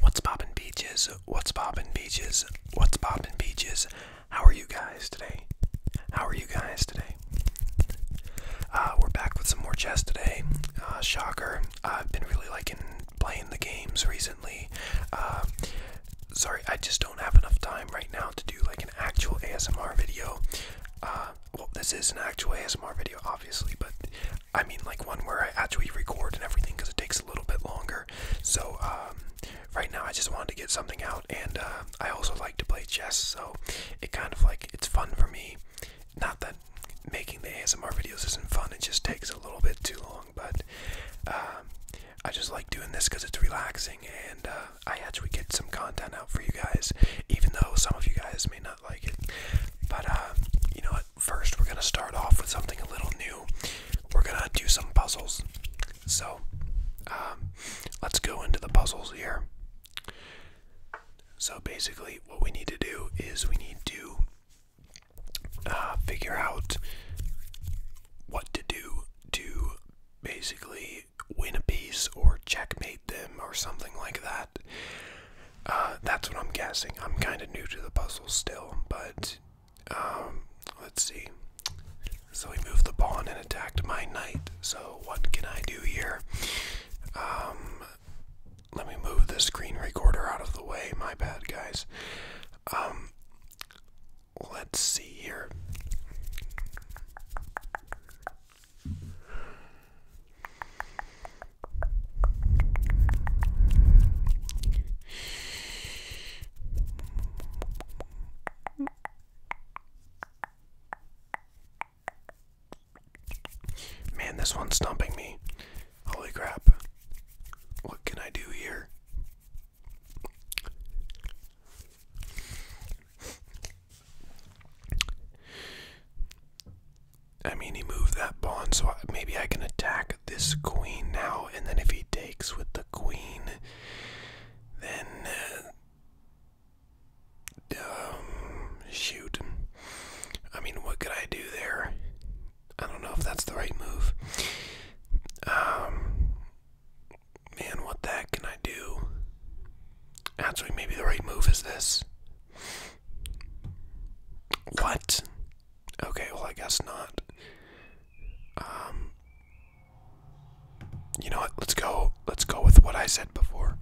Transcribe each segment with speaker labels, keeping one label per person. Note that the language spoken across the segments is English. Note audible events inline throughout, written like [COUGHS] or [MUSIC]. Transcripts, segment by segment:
Speaker 1: What's poppin' peaches? What's poppin' peaches? What's poppin' peaches? How are you guys today? How are you guys today? Uh, we're back with some more chess today. Uh, shocker, I've been really liking playing the games recently. Uh, sorry, I just don't have enough time right now to do like an actual ASMR video. well, this is an actual ASMR video, obviously, but I mean, like one where I actually record and everything because it takes a little bit longer. So, um, right now I just wanted to get something out, and uh, I also like to play chess, so it kind of like it's fun for me. Not that making the ASMR videos isn't fun, it just takes a little bit too long, but um, I just like doing this because it's relaxing, and uh, I actually get some content out for you guys, even though some of you guys may not like it. But, uh, you know, what? first we're gonna start off with something a little new. We're gonna do some puzzles. So um, let's go into the puzzles here. So basically, what we need to do is we need to uh, figure out what to do to basically win a piece or checkmate them or something like that. Uh, that's what I'm guessing. I'm kind of new to the puzzle still, but um, let's see. So we moved the pawn and attacked my knight. So what can I do here? Um, let me move the screen recorder out of the way. My bad, guys. Um, let's see here. Man, this one's stumping me. Holy crap. What can I do here? I mean, he moved that pawn, so maybe I can attack this queen now. And then if he takes with the queen, then. Uh, um, shoot. I mean, what could I do there? I don't know if that's the right move. Um, man, what the heck can I do? Actually, maybe the right move is this. What? Okay, well, I guess not. Um, you know what? Let's go. Let's go with what I said before.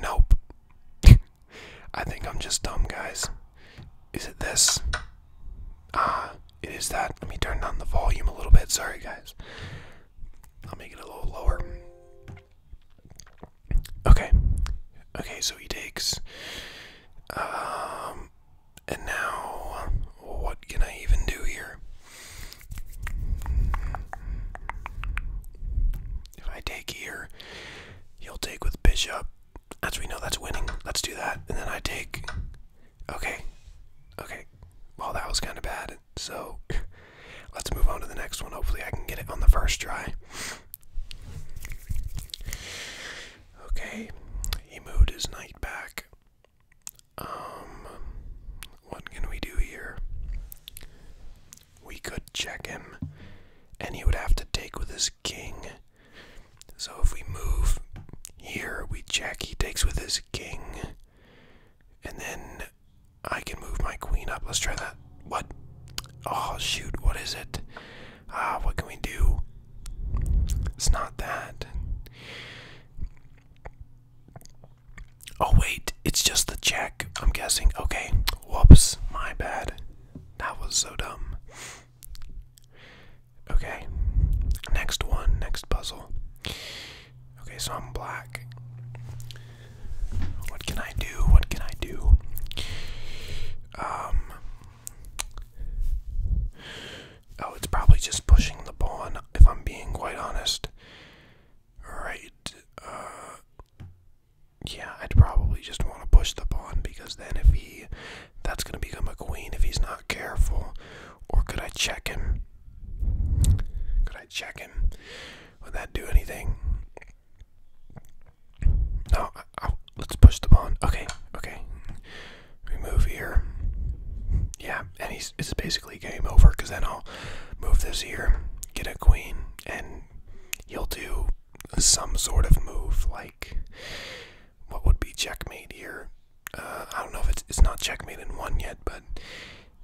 Speaker 1: Nope. [LAUGHS] I think I'm just dumb, guys. Is it this? Ah, it is that. Let me turn down the volume a little bit. Sorry, guys. I'll make it a little lower. Okay. Okay, so he takes. Um, and now, what can I even do here? If I take here, he'll take with bishop. As we know, that's winning. Let's do that. And then I take. Okay. Okay. Well, that was kind of bad. So, [LAUGHS] let's move on to the next one. Hopefully, I can get it on the first try. Okay, he moved his knight back. Um, what can we do here? We could check him, and he would have to take with his king. So if we move here, we check, he takes with his king. And then I can move my queen up. Let's try that. What? Oh, shoot, what is it? ah, what can we do? It's not that. Oh, wait, it's just the check, I'm guessing. Okay, whoops, my bad. That was so dumb. Okay, next one, next puzzle. Okay, so I'm black. What can I do? What can I do? Um, Oh, it's probably just pushing the pawn, if I'm being quite honest. Right. Uh, yeah, I'd probably just want to push the pawn because then if he. That's going to become a queen if he's not careful. Or could I check him? Could I check him? Would that do anything? No, Oh, let's push the pawn. Okay, okay. We move here. Yeah, and he's it's basically game over because then I'll move this here, get a queen, and he'll do some sort of move like what would be checkmate here. Uh, I don't know if it's it's not checkmate in one yet, but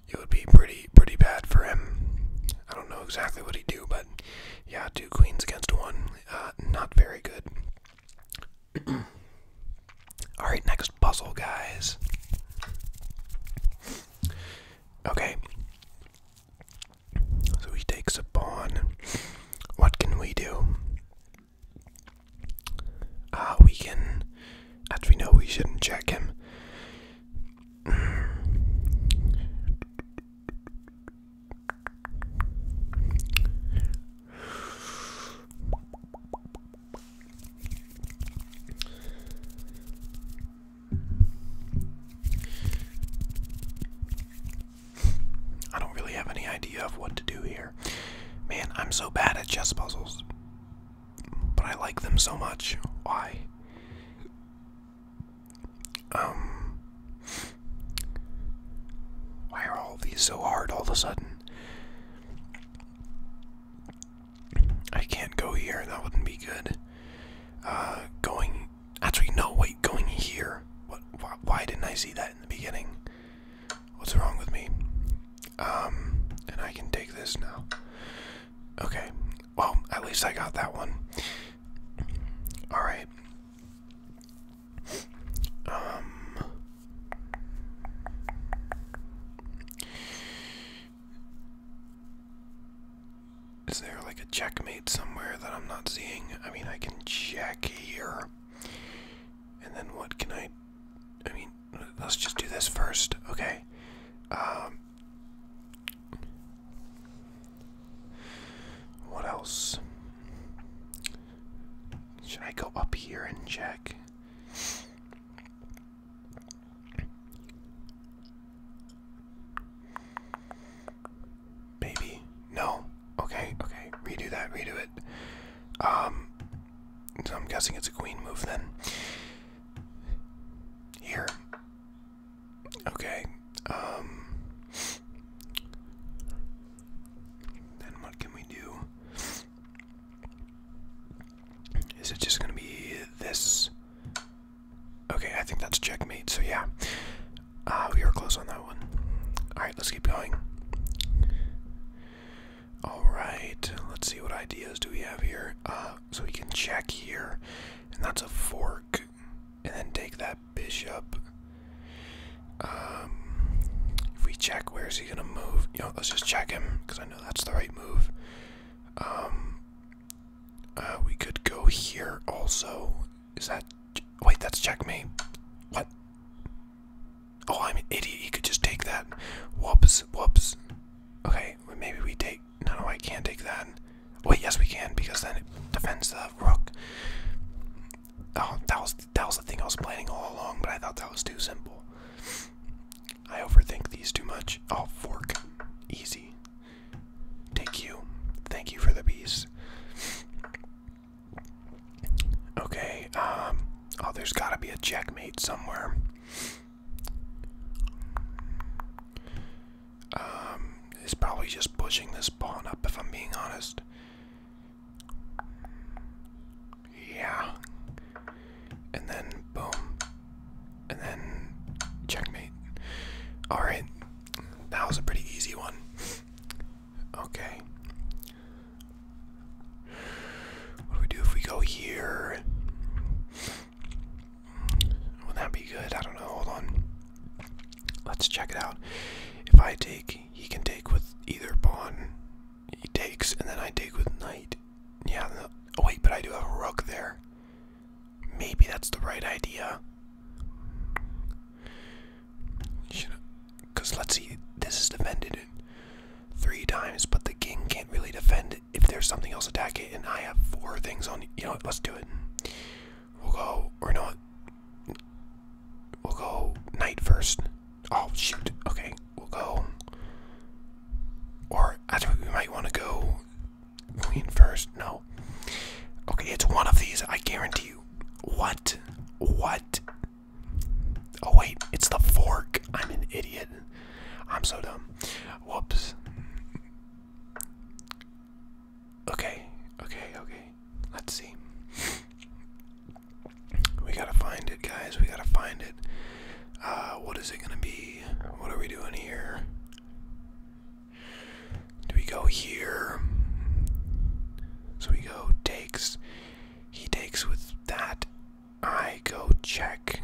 Speaker 1: it would be pretty pretty bad for him. I don't know exactly what he'd do, but yeah, two queens against one, uh, not very good. Alright, next puzzle, guys. Okay. So he takes a pawn. What can we do? Ah, we can. As we know, we shouldn't check him. I don't really have any idea of what to do here. Man, I'm so bad at chess puzzles. But I like them so much. Why? Um why are all these so hard all of a sudden? I can't go here. That wouldn't be good. Uh, going. Actually, no. Wait, going here. Why, didn't I see that in the beginning? What's wrong with me? Um, and I can take this now. Okay. Well, at least I got that one. All right. Um, is there like a checkmate somewhere that I'm not seeing? I mean, I can check here. And then what can I I mean, let's just do this first. Okay. Um What else? Should I go up here and check? Maybe. No. Okay, okay. Redo that, redo it. Um so I'm guessing it's a queen move then. Here. Okay. Um then what can we do? Is it just gonna be this? Okay, I think that's checkmate, so yeah. Uh, we were close on that one. Alright, let's keep going. Alright, let's see what ideas do we have here. Uh, so we can check here, and that's a fork, and then take that bishop, um, if we check, where is he gonna move? You let's just check him because I know that's the right move. Um, uh, we could go here also. Is that? Wait, that's checkmate. What? Oh, I'm an idiot. He could just take that. Whoops, whoops. Okay, maybe we take. No, no, I can't take that. Wait, yes, we can because then it defends the rook. Oh, that was that was the thing I was planning all along, but I thought that was too simple. I overthink these too much. Oh, fork. Easy. Thank you. Thank you for the piece. Okay, um, oh, there's gotta be a checkmate somewhere. Um, it's probably just pushing this pawn up, if I'm being honest. Yeah. And then boom. And then checkmate. Alright. That was a pretty easy one. Okay. What do we do if we go here? Will that be good? I don't know. Hold on. Let's check it out. If I take, he can take with either pawn. He takes, and then I take with knight. Yeah, oh wait, but I do have a rook there. Maybe that's the right idea. Because let's see, this is defended three times, but the king can't really defend it if there's something else attacking it, and I have four things on. You know Let's do it. We'll go, or not. We'll go knight first. Oh, shoot. Okay, we'll go. Or I think we might want to go queen first. No. Okay, it's one of these, I guarantee you. What? What? Oh, wait, it's the fork. I'm an idiot. I'm so dumb. Whoops. Okay, okay, okay. Let's see. we gotta find it, guys. We gotta find it. Uh, what is it gonna be? What are we doing here? Do we go here? So we go takes. He takes with that. I go check.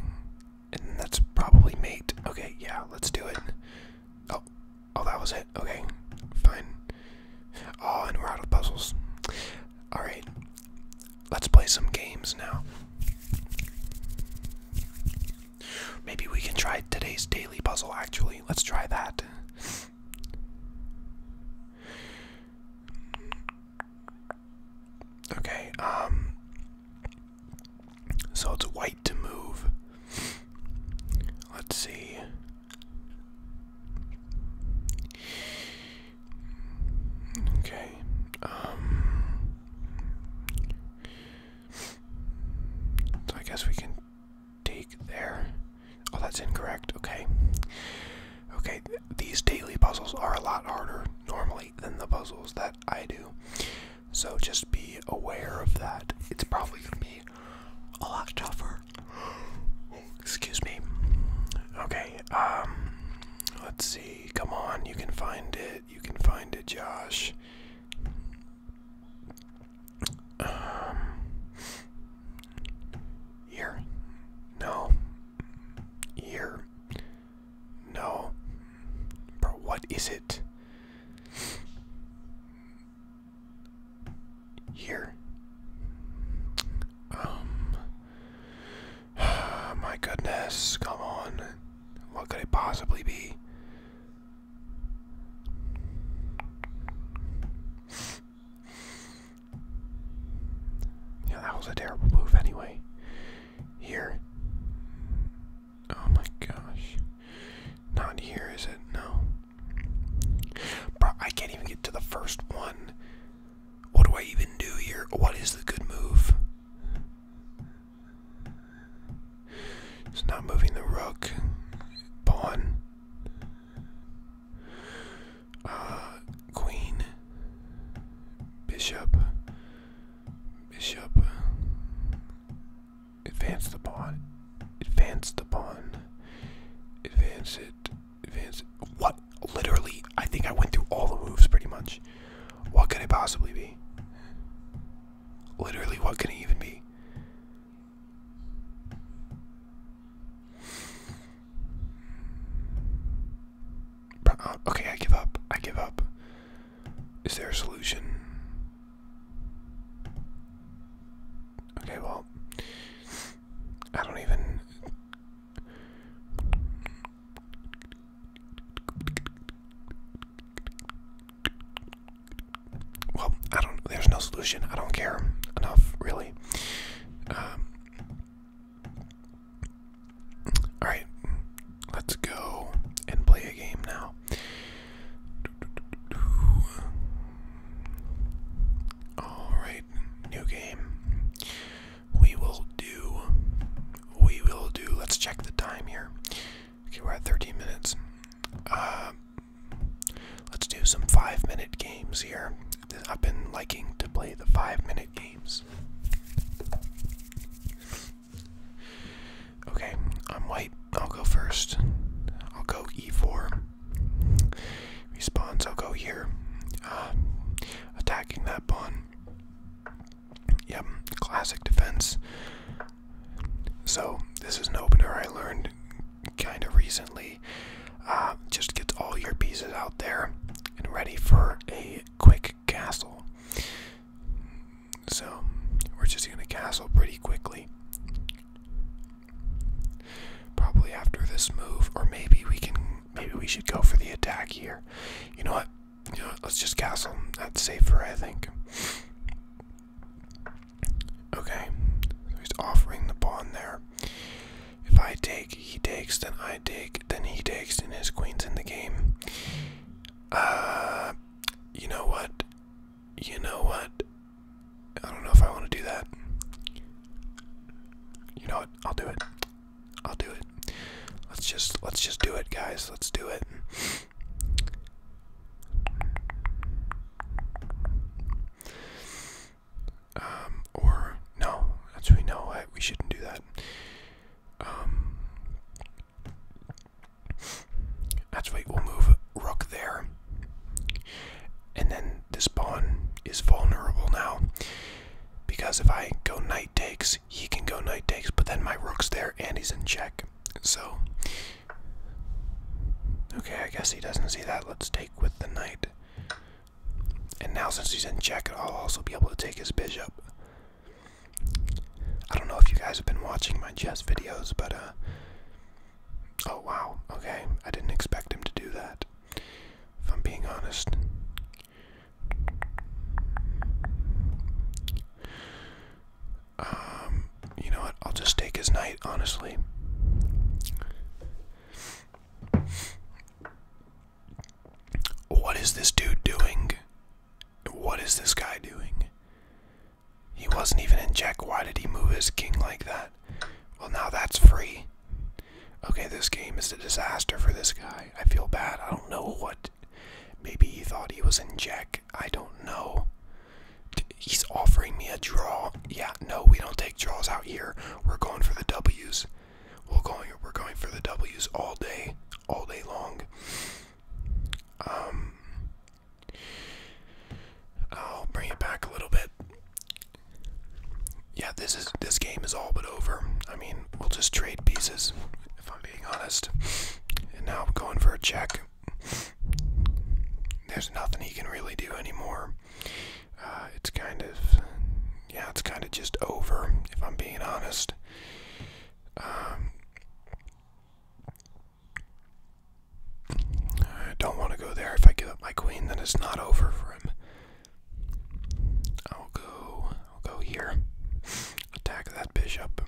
Speaker 1: And that's probably mate. Okay, yeah, let's do it. Oh, oh, that was it. Okay, fine. Oh, and we're out of puzzles. Alright, let's play some games now. Maybe we can try today's daily puzzle, actually. Let's try that. Okay, um. So it's white to move. Let's see. Okay. Um So I guess we can take there. Oh, that's incorrect. Okay. Okay, these daily puzzles are a lot harder normally than the puzzles that I do. So just be aware of that. It's probably going to be a lot tougher [GASPS] Excuse me. Okay, um let's see. Come on, you can find it. You can find it, Josh. Um here. No. Here. No. But what is it? Here. Um [SIGHS] My goodness, come on. What could it possibly be? Yeah, that was a terrible move anyway. Here. Oh my gosh. Not here, is it? No. Bro, I can't even get to the first one. What do I even do here? What is the good move? It's not moving the rook. Pawn. Uh, queen. Bishop. Bishop. Advance the pawn. Advance the pawn. Advance it. Vince. What? Literally, I think I went through all the moves pretty much. What could it possibly be? Literally, what could it even be? Uh, okay, I give up. I give up. Is there a solution? Okay, well, I don't even well, I don't. There's no solution. I don't care enough, really. Um, all right, let's go and play a game now. All right, new game we will do we will do let's check the time here okay we're at 13 minutes uh, let's do some five minute games here i've been liking to play the five minute games okay i'm white i'll go first i'll go e4 Respawns, I'll go here. Uh, attacking that pawn. Yep, classic defense. So, this is an opener I learned kind of recently. Uh, just gets all your pieces out there and ready for a quick castle. So, we're just going to castle pretty quickly. Probably after this move, or maybe we can maybe we should go for the attack here. You know what? You know what? Let's just castle. That's safer, I think. Okay. So he's offering the pawn there. If I take, he takes, then I take, then he takes, and his queen's in the game. Uh, you know what? You know what? I don't know if I want to do that. You know what? I'll do it. I'll do it. Let's just let's just do it, guys. Let's do it. Um, or no, actually no, we shouldn't do that. Um, actually, we'll move rook there, and then this pawn is vulnerable now, because if I go knight takes, he can go knight takes, but then my rook's there and he's in check. So, okay, I guess he doesn't see that. Let's take with the knight. And now since he's in check, I'll also be able to take his bishop. I don't know if you guys have been watching my chess videos, but, uh, oh wow, okay, I didn't expect him to do that. If I'm being honest, um, you know what? I'll just take his knight, honestly. What is this dude doing? What is this guy doing? He wasn't even in check. Why did he move his king like that? Well, now that's free. Okay, this game is a disaster for this guy. I feel bad. I don't know what. Maybe he thought he was in check. I don't know. He's offering me a draw. Yeah, no, we don't take draws out here. We're going for the W's. We're going. We're going for the W's all day, all day long. Um, I'll bring it back a little bit yeah, this is this game is all but over. I mean, we'll just trade pieces, if I'm being honest. And now I'm going for a check. There's nothing he can really do anymore. Uh, it's kind of, yeah, it's kind of just over, if I'm being honest. Um, I don't want to go there. If I give up my queen, then it's not over for him. I'll go I'll go here. Attack that bishop.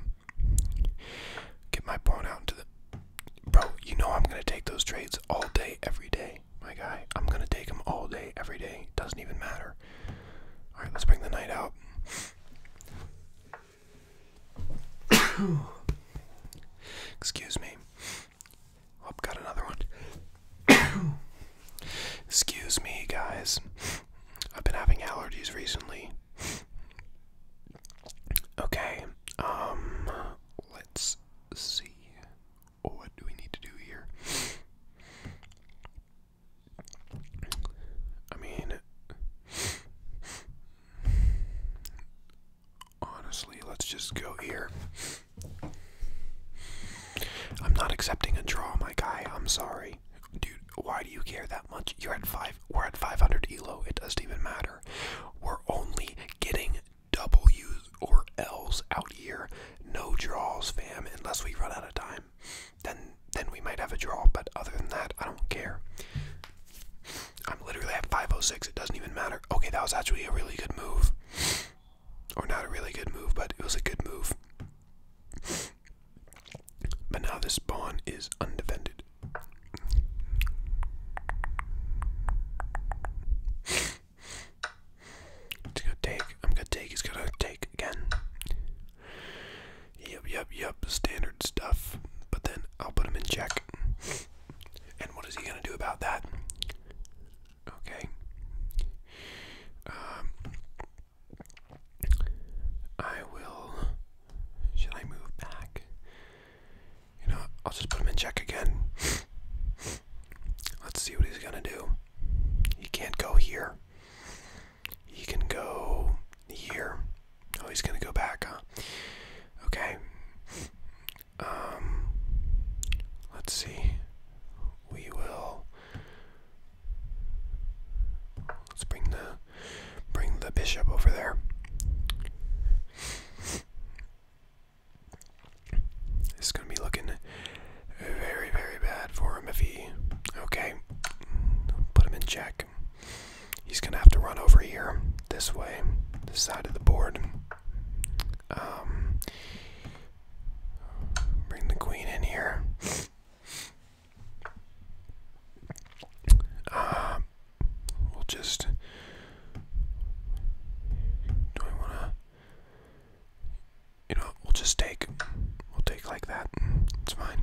Speaker 1: Get my pawn out into the Bro, you know I'm gonna take those trades all day, every day, my guy. I'm gonna take them all day, every day. Doesn't even matter. Alright, let's bring the knight out. [COUGHS] Excuse me. Oh, I've got another one. Excuse me, guys. I've been having allergies recently. Okay, um, let's see. What do we need to do here? I mean, honestly, let's just go here. I'm not accepting a draw, my guy. I'm sorry. Dude, why do you care that much? You're at five. We're at 500 elo. It doesn't even matter. We're only getting W's or L's out here. No draws, fam. Unless we run out of time, then then we might have a draw. But other than that, I don't care. I'm literally at 506. It doesn't even matter. Okay, that was actually a really good move. Or not a really good move, but it was a good move. But now this pawn is undefended. It's gonna take. I'm gonna take. He's gonna take again. Yep, yep, yep. Standard stuff. But then I'll put him in check. And what is he gonna do about that? Okay. Um, I will. Should I move back? You know, I'll just put him in check again. [LAUGHS] Let's see what he's gonna do. He can't go here. He can go here. Oh, he's gonna go back, Okay. Um. Let's see. We will Let's bring the bring the bishop over there. It's gonna be looking very, very bad for him if he okay. Put him in check. He's gonna have to run over here this way, this side of the board. Um, Bring the queen in here. Um, we'll just. Do I want to? You know, we'll just take. We'll take like that. It's fine.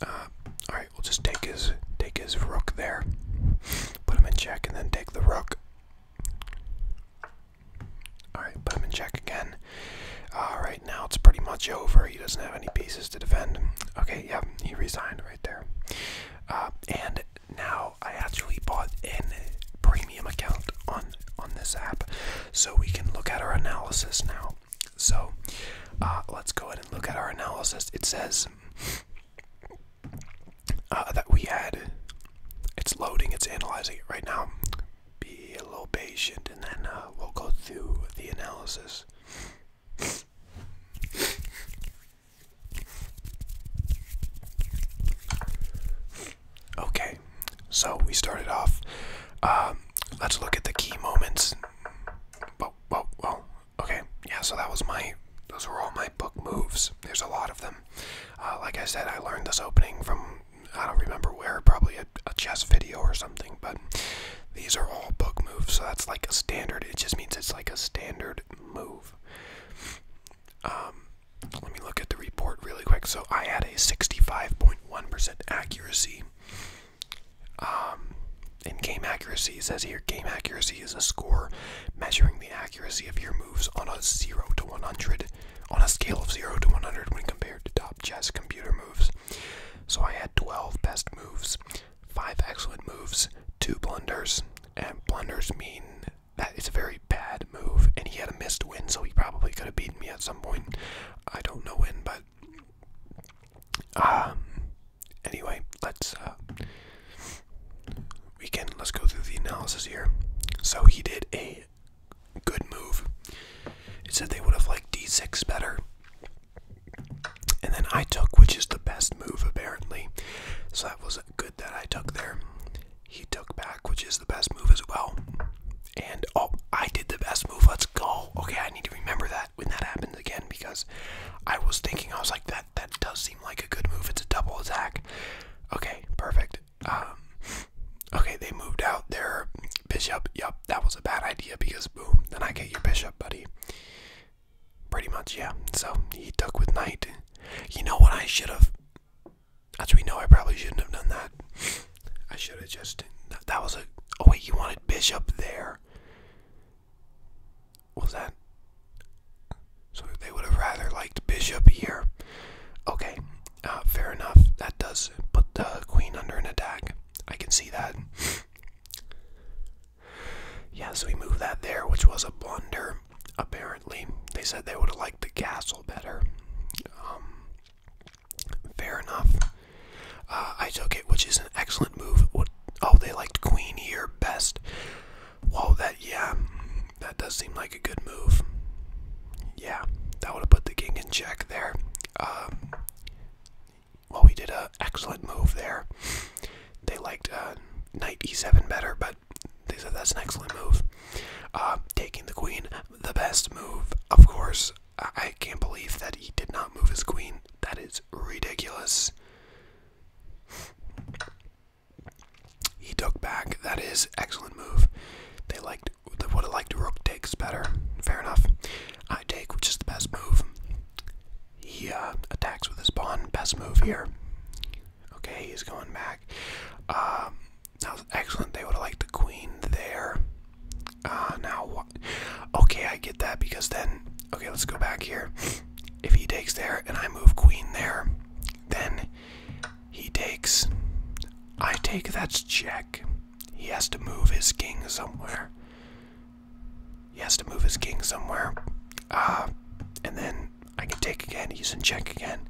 Speaker 1: Uh, all right, we'll just take his take his rook there. Put him in check and then take the rook. Alright, put him in check again. Alright, now it's pretty much over. He doesn't have any pieces to defend. Okay, yeah, he resigned right there. Uh, and now I actually bought an premium account on on this app so we can look at our analysis now so uh, let's go ahead and look at our analysis it says uh, that we had. It's loading, it's analyzing it right now. Be a little patient and then uh, we'll go through the analysis. Okay, so we started off. Um, let's look at the key moments. Whoa, whoa, whoa okay, yeah, so that was my, those were all my book moves. There's a lot of them. Uh, like I said, I learned this opening from, I don't remember where, probably a, chess video or something, but these are all book moves, so that's like a standard. It just means it's like a standard move. Um, let me look at the report really quick. So I had a 65.1% accuracy. in um, game accuracy, it says here game accuracy is a score measuring the accuracy of your moves on a 0 to 100 on a scale of 0 to 100 when compared to top chess computer moves. So I had 12 best moves, 5 excellent moves, 2 blunders, and blunders mean that it's a very bad move, and he had a missed win, so he probably could have beaten me at some point. I don't know when, but um, anyway, let's uh, we can let's go through the analysis here. So he did a good move. It said they would have liked d6 better. And then I took, which is the best move apparently. So that was good that I took there. He took back, which is the best move as well. And oh, I did the best move. Let's go. Okay, I need to remember that when that happens again because I was thinking I was like that that does like a good move. It's a double attack. Okay, perfect. Um, okay, they moved out their bishop. Yep, that was a bad idea because boom, then I get your bishop, buddy. Pretty much, yeah. So he took with knight. You know what I should have? we know, I probably shouldn't have done that. I should have just. That was a. Oh wait, you wanted bishop there was that? So they would have rather liked bishop here. Okay, uh, fair enough. That does put the queen under an attack. I can see that. yeah, so we move that there, which was a blunder. Apparently, they said they would have liked the castle better. Um, fair enough. Uh, I took it, which is an excellent move. Oh, they liked queen here best. Whoa, that, yeah, that does seem like a good move. Yeah, that would have put the king in check there. Um, well, we did an excellent move there. They liked uh, knight e7 better, but they said that's an excellent move. Uh, taking the queen, the best move, of course. I can't believe that he did not move his queen. That is ridiculous. He took back. That is excellent move. They liked they would have liked rook takes better. Fair enough. I take, which is the best move. He uh, attacks with his pawn. Best move here. Okay, he's going back. Um, that was excellent. They would have liked the queen there. Uh, now Okay, I get that because then. Okay, let's go back here. If he takes there and I move queen there, then he takes. I take that's check. He has to move his king somewhere. He has to move his king somewhere. Uh, and then I can take again. He's in check again.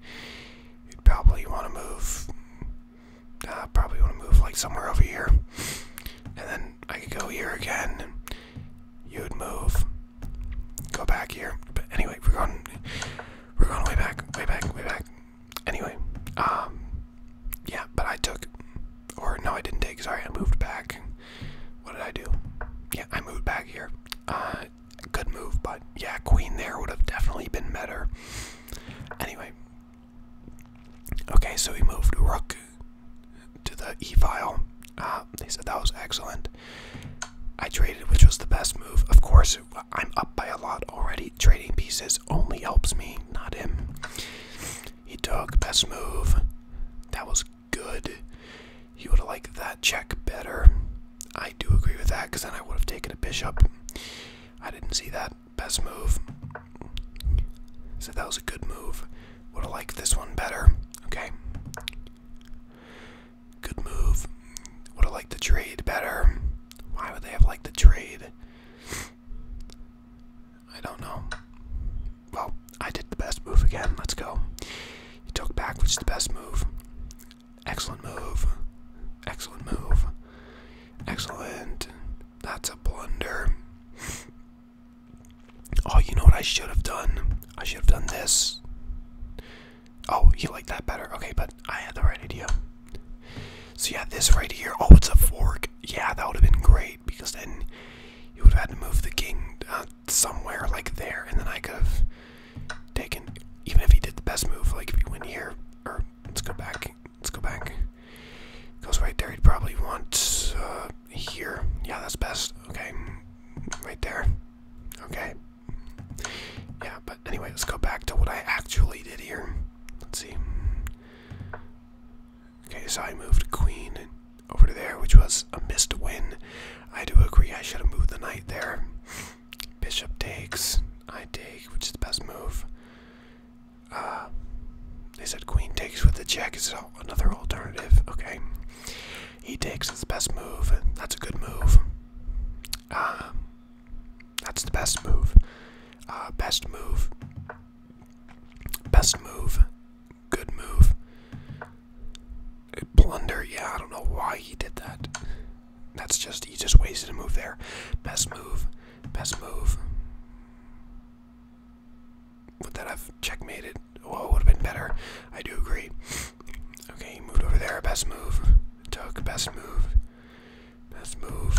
Speaker 1: You'd probably want to move. Uh, probably want to move like somewhere over here. And then I could go here again. You'd move go back here. But anyway, we're going we're going way back, way back, way back. Anyway, um yeah, but I took or no I didn't take, sorry, I moved back. What did I do? Yeah, I moved back here. Uh good move, but yeah, Queen there would have definitely been better. Anyway. Okay, so we moved Rook to the E file. Ah, they said that was excellent. I traded, which was the best move. Of course, I'm up by a lot already. Trading pieces only helps me, not him. He took best move. That was good. He would have liked that check better. I do agree with that because then I would have taken a bishop. I didn't see that best move. So that was a good move. Would have liked this one better. Okay. Good move. Would have liked the trade better. Why would they have liked the trade? I don't know. Well, I did the best move again. Let's go. He took back, which is the best move. Excellent move. Excellent move. Excellent. That's a blunder. Oh, you know what I should have done? I should have done this. Oh, you like that better. Okay, but I had the right idea. So yeah, this right here. Oh, it's a fork. Yeah, that would have been great because then you would have had to move the king uh, somewhere like there, and then I could have taken. Even if he did the best move, like if he went here, or let's go back. Let's go back. Goes right there. He'd probably want uh, here. Yeah, that's best. Okay, right there. Okay, yeah, but anyway, let's go back to what I actually did here. Let's see. Okay, so I moved queen over to there, which was a missed win. I do agree I should have moved the knight there. Bishop takes, I take, which is the best move. Uh, they said queen takes with the check is another alternative. Okay. He takes his best move. That's a good move. Uh, that's the best move. Uh, best move. Best move. Good move. A Blunder. Yeah, I don't know why he did that. That's just, he just wasted a move there. Best move. Best move. Would that have checkmated? Well, would have been better. I do agree. Okay, he moved over there. Best move. Took best move. Best move.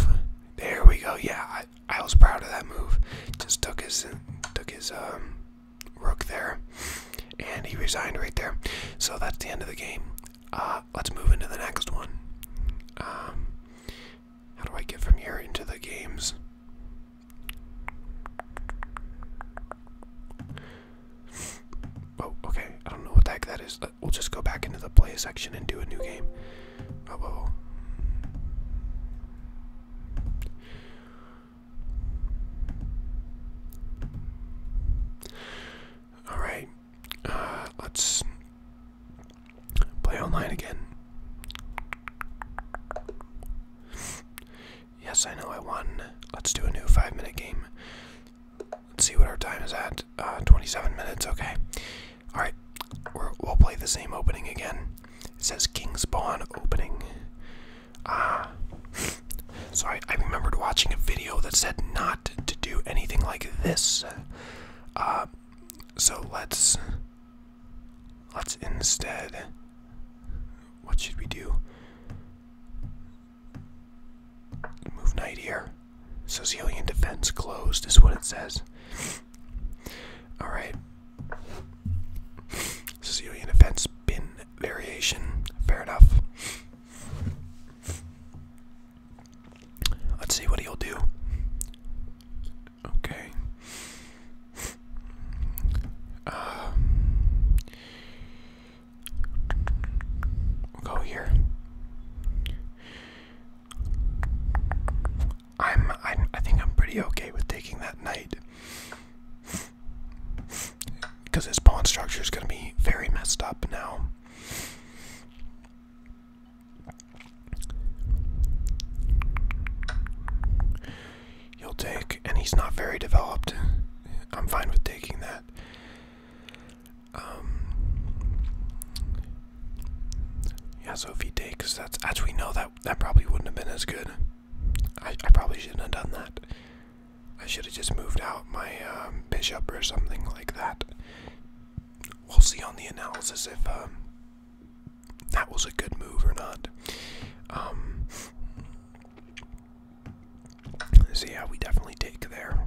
Speaker 1: There we go. Yeah, I, was proud of that move. Just took his took his um rook there, and he resigned right there. So that's the end of the game. Uh, let's move into the next one. Um, how do I get from here into the games? Oh, okay. I don't know what the that is. Uh, we'll just go back into the play section and do a new game. Oh, All right. Uh, let's play online again. Yes, I know I won. Let's do a new five minute game. Let's see what our time is at. Uh, 27 minutes, okay. Alright, we'll play the same opening again. It says King's Pawn opening. Ah. [LAUGHS] so I, I remembered watching a video that said not to do anything like this. Uh, so let's. Let's instead. What should we do? Move knight here. Sicilian defense closed is what it says. Alright. Sicilian defense bin variation. Fair enough. Let's see what he'll do. Okay. Uh, go here. i I'm I think I'm pretty okay with taking that knight. Because his pawn structure is going to be very messed up now. He'll take, and he's not very developed. I'm fine with taking that. Um, yeah, so if he takes, that's we know, that that probably wouldn't have been as good. I, probably shouldn't have done that. I should have just moved out my um, bishop or something like that. We'll see on the analysis if um, that was a good move or not. See how we definitely take there.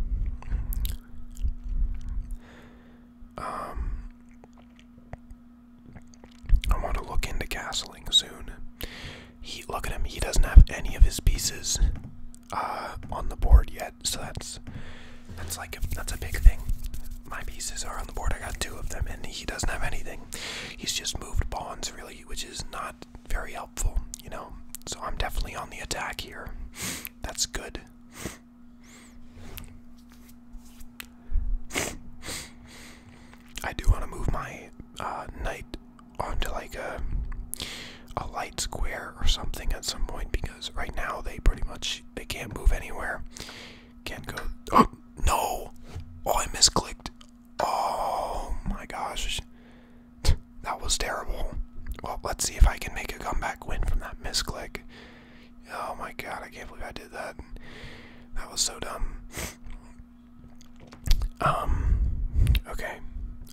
Speaker 1: Um, I want to look into castling soon. He look at him. He doesn't have any of his pieces uh, on the board yet, so that's that's like that's a big thing. My pieces are on the board. I got two of them, and he doesn't have anything. He's just moved pawns really, which is not very helpful, you know? So I'm definitely on the attack here. That's good. I do want to move my uh, knight onto like a a light square or something at some point because right now they pretty much they can't move anywhere. Can't go. Oh [GASPS] no! Oh, I misclicked. Oh my gosh! that was terrible. Well, let's see if I can make a comeback win from that misclick. Oh my god, I can't believe I did that. That was so dumb. Um, okay.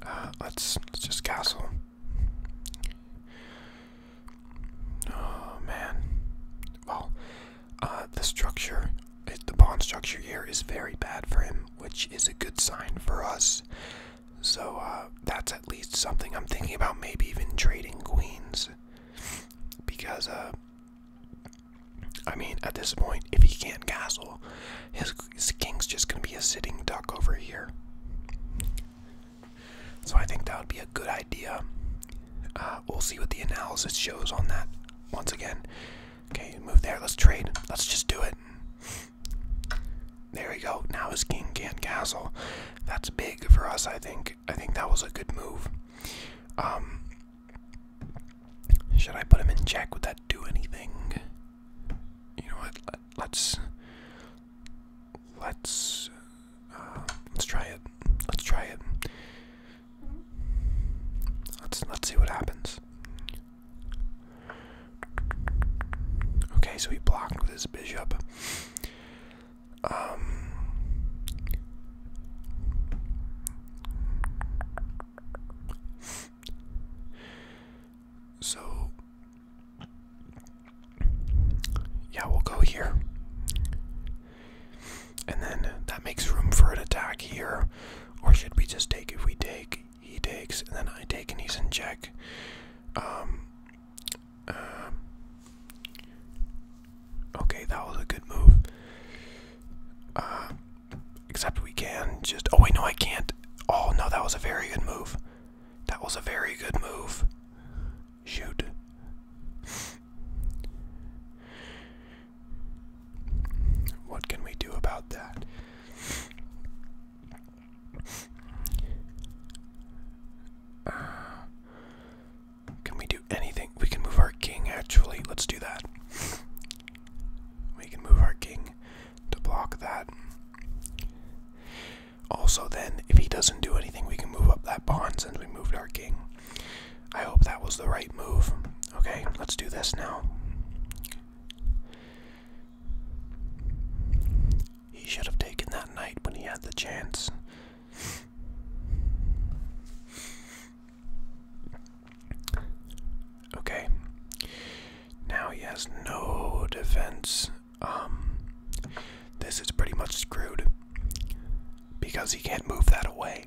Speaker 1: Uh, let's, let's just castle. Oh man. Well, uh, the structure, the pawn structure here is very bad for him which is a good sign for us. So uh, that's at least something I'm thinking about, maybe even trading queens. Because, uh, I mean, at this point, if he can't castle, his, king's just going to be a sitting duck over here. So I think that would be a good idea. Uh, we'll see what the analysis shows on that once again. Okay, move there. Let's trade. Let's just do it. There we go. Now his king can castle. That's big for us, I think. I think that was a good move. Um, should I put him in check? Would that do anything? You know what? Let, us let's uh, let's try it. Let's try it. Let's let's see what happens. Okay, so he blocked with his bishop. Um, so, yeah, we'll go here. And then that makes room for an attack here. Or should we just take, if we take, he takes, and then I take and he's in check. Um, um, okay, that was a good move. Uh, except we can just. Oh, wait, no, I can't. Oh, no, that was a very good move. That was a very good move. Shoot. What can we do about that? Uh, can we do anything? We can move our king, actually. Let's do that. We can move our king to block that. Also, then, if he doesn't do anything, we can move up that pawn since we moved our king. I hope that was the right move. Okay, let's do this now. He should have taken that knight when he had the chance. Okay. Now he has no defense. Um, this is pretty much screwed because he can't move that away.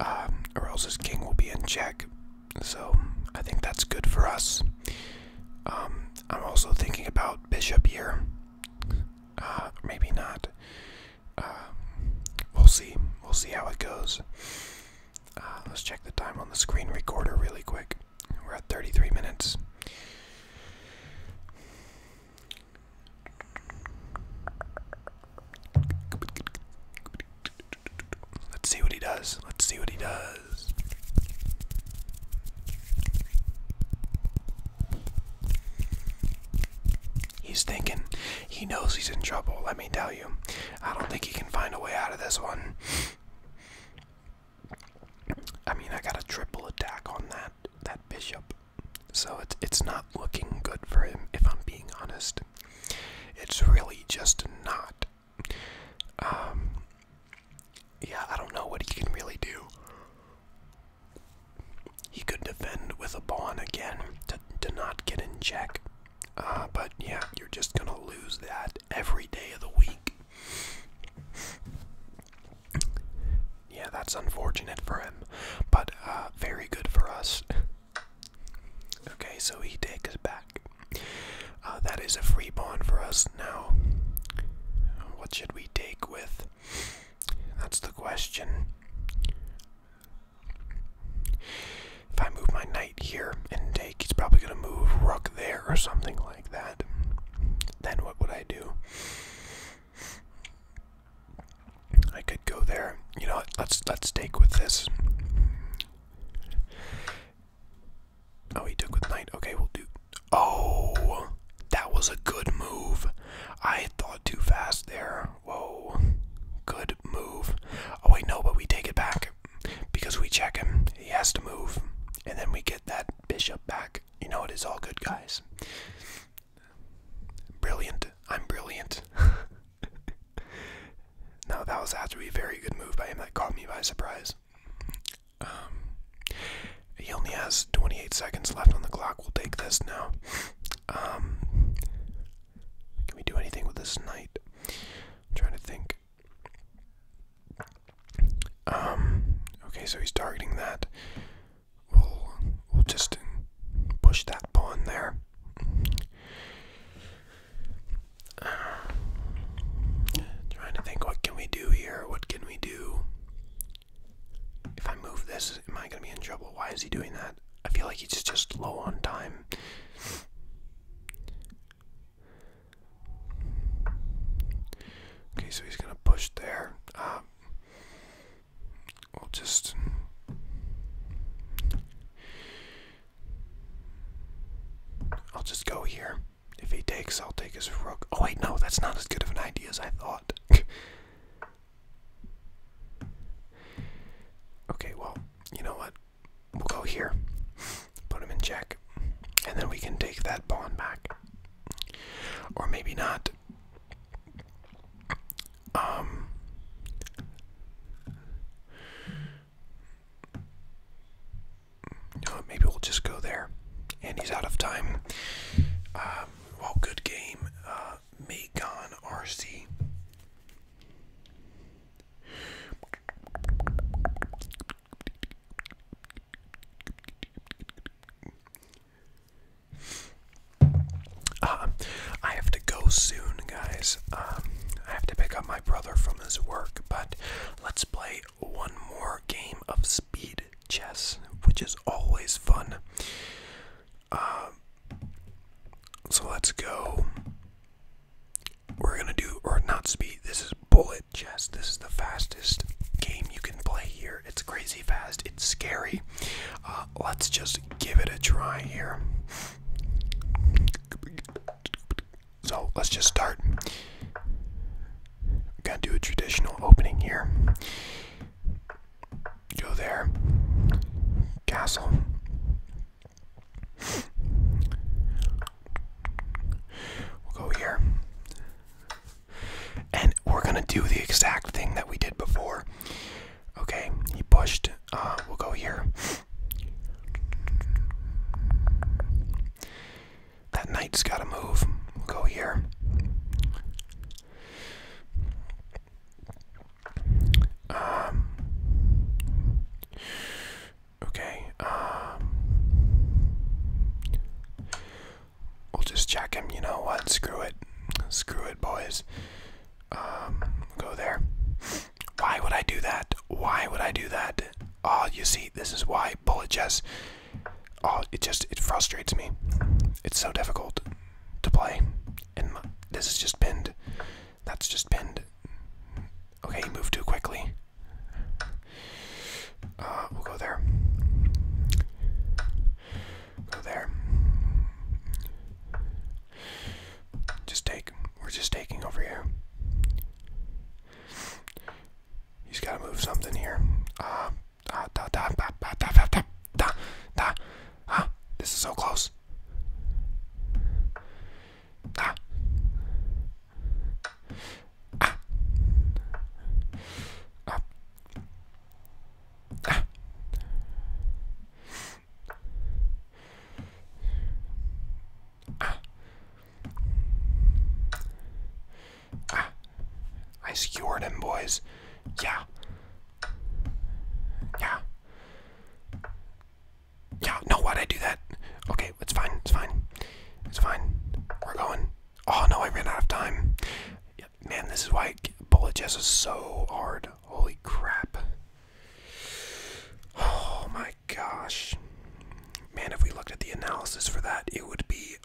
Speaker 1: Um, or else his king will be in check so I think that's good for us. Um, I'm also thinking about Bishop Year. Uh, maybe not. Um, we'll see. We'll see how it goes. Uh, let's check the time on the screen recorder really quick. We're at 33 minutes. Let's see what he does. Let's see what he does. He's thinking. He knows he's in trouble, let me tell you. I don't think he can find a way out of this one. I mean, I got a triple attack on that that bishop. So it's it's not looking good for him if I'm being honest. It's really just not um, yeah, I don't know what he can really do. He could defend with a pawn again to, to not get in check. Uh, but yeah, you're just gonna lose that every day of the week. Yeah, that's unfortunate for him, but uh, very good for us. [LAUGHS] Okay, so he takes back uh, that is a free bond for us now. What should we take with? That's the question. If I move my knight here and take, he's probably going to move rook there or something like that. Then what would I do? I could go there. You know, let's let's take with this. Oh, he took with knight. Okay, we'll do. Oh, that was a good move. I thought too fast there. Whoa, good move. Oh wait, no, but we take it back because we check him. He has to move, and then we get that bishop back. You know, it is all good, guys. Brilliant. I'm brilliant. [LAUGHS] Now that was actually a very good move by him. That caught me by surprise. Um, he only has 28 seconds left on the clock. We'll take this now. Um, can we do anything with this knight? trying to think. Um, okay, so he's targeting that. We'll, we'll just push that pawn there. [SIGHS] trying to think, what can we do here? What can we do? If I move this, am I gonna be in trouble? Why is he doing that? I feel like he's just low on time. Okay, so he's gonna push there. Uh, will just. I'll just go here. If he takes, I'll take his rook. Oh wait, no, that's not as good of an idea as I thought. [LAUGHS] okay, well, you know what? We'll go here. Put him in check. And then we can take that pawn back. Or maybe not. Um maybe we'll just go there. And he's out of time. Um, well, good game, uh, RC. Uh, I have to go soon, guys. Um, I have to pick up my brother from his work, but let's play one more game of speed chess, which is always fun. Uh, so let's go. We're gonna do, or not speed, this is bullet chess. This is the fastest game you can play here. It's crazy fast, it's scary. Uh, let's just give it a try here. So let's just start. We're gonna do a traditional opening here. Go there. Castle. We'll go here. And we're gonna do the exact thing that we did before. Okay, he pushed. Uh, we'll go here. That knight's gotta move. go here. Um, okay. Um, we'll just check him. You know what? Screw it. Screw it, boys. Um, go there. Why would I do that? Why would I do that? Oh, you see, this is why apologize. Oh, it just it frustrates me. It's so difficult to play, and this is just pinned. That's just pinned. Okay, you moved too quickly. Uh, we'll go there. Go there. Just take. We're just taking over here. He's got to move something here. Uh, da, da, da, da, da, da, da, da. This is so close. Ah. Ah. Ah. Ah. Ah. Ah. I skewered him, boys. Yeah. Yeah. Yeah, no, why'd I do that? Okay, it's fine, it's fine. It's fine. We're going. Oh no, I ran out of time. man, this is why bullet chess is so hard. Holy crap. [SIGHS] Oh my gosh. Man, if we looked at the analysis for that, it would be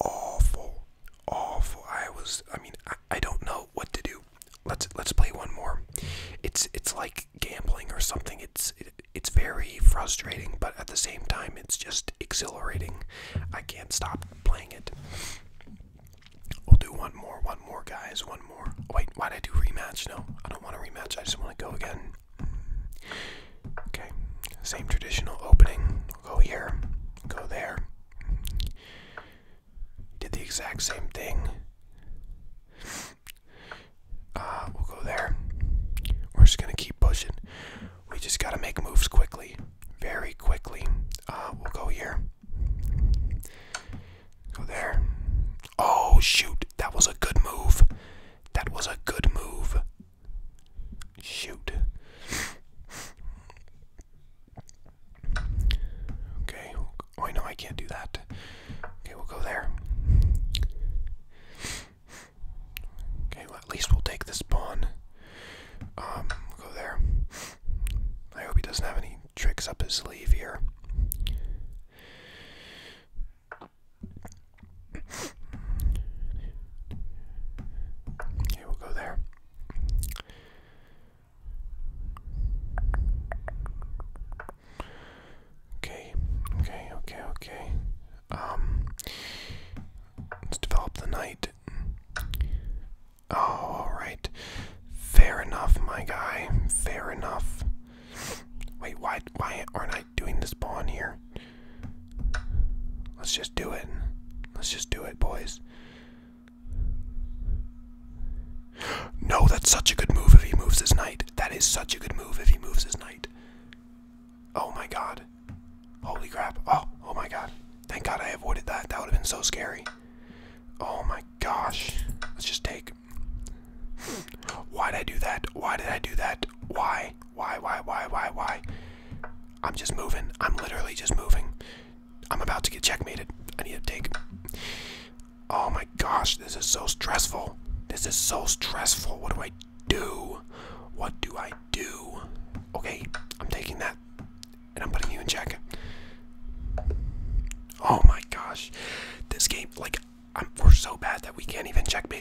Speaker 1: awful. Awful. I was I mean, I, I don't know what to do. Let's let's play one more. It's it's like gambling or something. It's it's very frustrating, but at the same time it's just exhilarating. I can't stop playing it. We'll do one more, one more guys, one more. Wait, why did I do rematch? No, I don't want to rematch. I just want to go again Okay, same traditional opening. We'll go here, go there. Did the exact same thing. Uh, we'll go there. We're just gonna keep pushing. We just gotta make moves quickly, very quickly. Uh, we'll go here. Go there. Oh shoot! That was a good move. That was a good move. Shoot. Okay. Oh, I know I can't do that. Okay, we'll go there. Okay, well, at least we'll take this pawn. Um, go there. I hope he doesn't have any tricks up his sleeve here. Okay, we'll go there. Okay, okay, okay, okay. Um, let's develop the knight. Oh, all right. Fair enough, my guy. Fair enough. Wait, why? Why aren't I? doing this spawn here. Let's just do it. Let's just do it, boys. No, that's such a good move if he moves his knight. That is such a good move if he moves his knight. Oh my god. Holy crap. Oh, oh my god. Thank god I avoided that. That would have been so scary. Oh my gosh. Let's just take. Why did I do that? Why did I do that? Why? Why, why, why, why, why? I'm just moving. I'm literally just moving. I'm about to get checkmated. I need to take. Oh my gosh, this is so stressful. This is so stressful. What do I do? What do I do? Okay, I'm taking that and I'm putting you in check. Oh my gosh. This game, like, I'm, we so bad that we can't even checkmate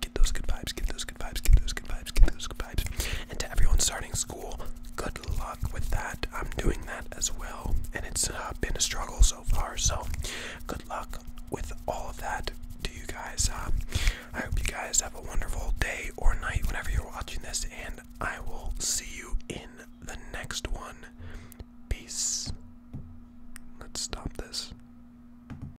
Speaker 1: Get those good vibes, get those good vibes, get those good vibes, get those good vibes. And to everyone starting school, good luck with that. I'm doing that as well, and it's uh, been a struggle so far. So, good luck with all of that to you guys. Um, I hope you guys have a wonderful day or night whenever you're watching this, and I will see you in the next one. Peace. Let's stop this.